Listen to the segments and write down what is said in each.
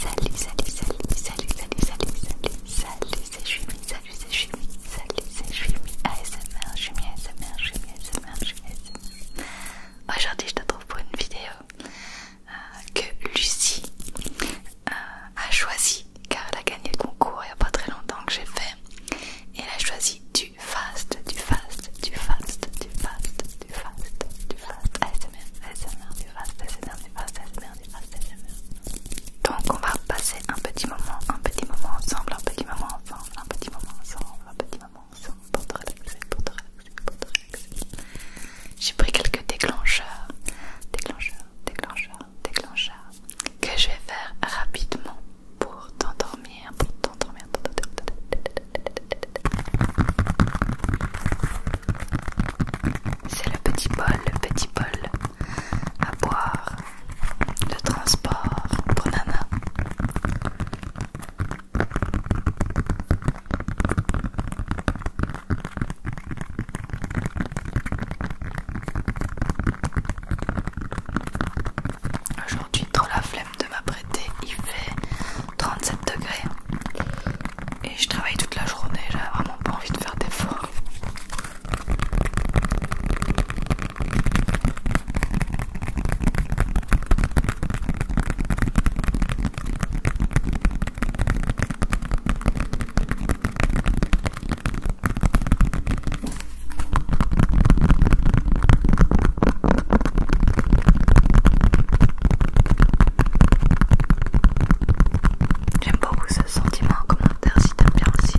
Salut, salut, salut, salut, salut, salut, salut, salut, c'est salut, c'est salut, c'est ASMR, ASMR, ASMR, ASMR. Aujourd'hui, je te trouve pour une vidéo euh, que Lucie euh, a choisi car elle a gagné le concours il n'y a pas très longtemps que j'ai fait et elle a choisi du du fast, du fast, du fast, du fast, du fast, du fast, du fast, du fast, du Donc on va passer un petit moment, un petit moment ensemble, un petit moment ensemble, un petit moment ensemble, un petit moment ensemble J'ai pris quelques déclencheurs, déclencheurs, déclencheurs, déclencheurs que je vais faire rapidement pour t'endormir, pour c'est le petit bol, le petit bol à boire, le transport pour Nana. Aujourd'hui, trop la flemme de m'apprêter, il fait 37 degrés et je travaille toute la journée, j'avais vraiment pas envie de faire d'efforts. J'aime beaucoup ce sentiment en commentaire si t'aimes bien aussi.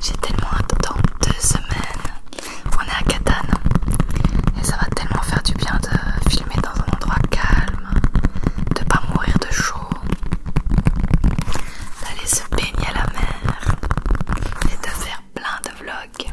J'ai tellement hâte dans deux semaines. On est à Catane et ça va tellement faire du bien de filmer dans un endroit calme, de pas mourir de chaud, d'aller se baigner à la mer et de faire plein de vlogs.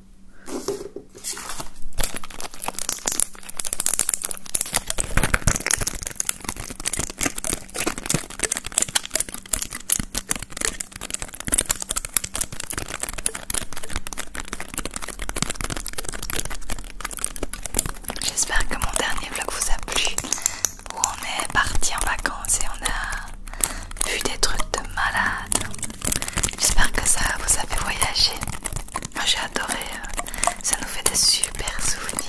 J'espère que mon dernier vlog vous a plu, où on est parti en vacances et on a vu des trucs de malade. J'espère que ça vous a fait voyager. Ah, j'ai adoré, euh, ça nous fait des super souvenirs.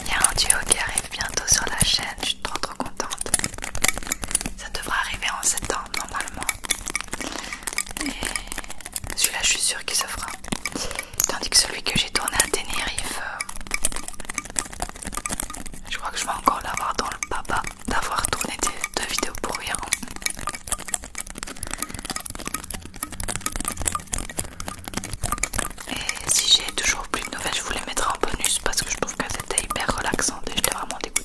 Il y a un duo qui arrive bientôt sur la chaîne, je suis trop trop contente. Ça devrait arriver en septembre normalement. Et celui-là je suis sûre qu'il se fera. Tandis que celui que j'ai tourné à Tenerife, euh, je crois que je vais encore l'avoir dans le papa d'avoir tourné deux vidéos pour rien. Et si j'ai toujours plus de nouvelles, je voulais mettre en bonus parce que je trouve que c'était hyper relaxantes et je l'ai vraiment dégoûté.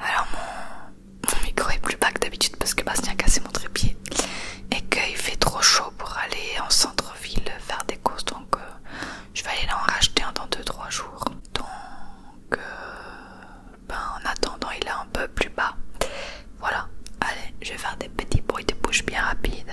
Alors mon, micro est plus bas que d'habitude parce que Bastien a cassé mon trépied et qu'il fait trop chaud pour aller en centre-ville faire des courses donc euh, je vais aller en racheter un dans 2-3 jours. Donc euh, ben, en attendant il est un peu plus bas. Voilà, allez, je vais faire des petits bruits de bouche bien rapides.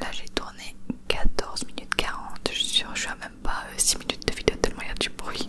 Là j'ai tourné 14 minutes 40, je suis je suis même pas 6 euh, minutes de vidéo tellement il y a du bruit.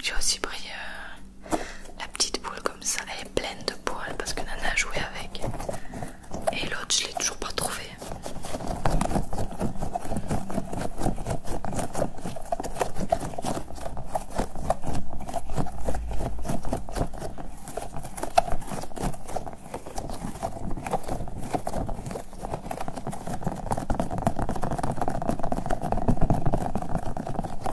J'ai aussi pris euh, la petite boule comme ça, elle est pleine de poils parce que Nana a joué avec. Et l'autre, je l'ai toujours pas trouvé.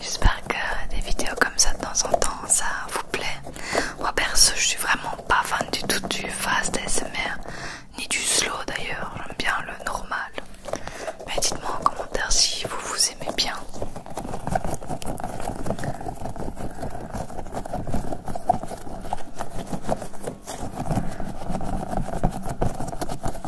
J'espère que des vidéos comme ça de temps en temps ça vous plaît. Moi perso je suis vraiment pas fan du tout du fast ASMR ni du slow d'ailleurs, j'aime bien le normal. Mais dites-moi en commentaire si vous vous aimez bien.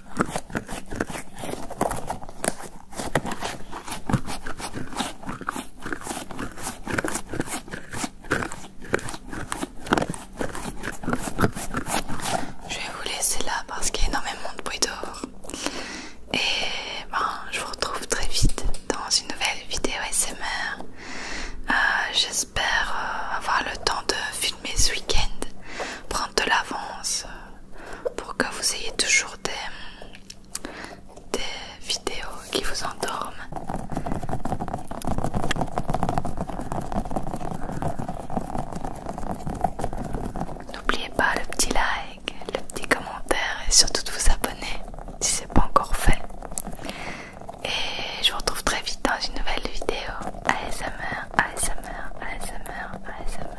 Je vais vous laisser là parce qu'il y a énormément de bruit dehors. Et ben, je vous retrouve très vite dans une nouvelle vidéo SMR. Euh, j'espère euh, avoir le temps de filmer ce week-end, prendre de l'avance. Euh, pour que vous ayez toujours des, vidéos qui vous endorment. N'oubliez pas le petit like, le petit commentaire et surtout de vous abonner si ce n'est pas encore fait. Et je vous retrouve très vite dans une nouvelle vidéo ASMR, ASMR, ASMR, ASMR.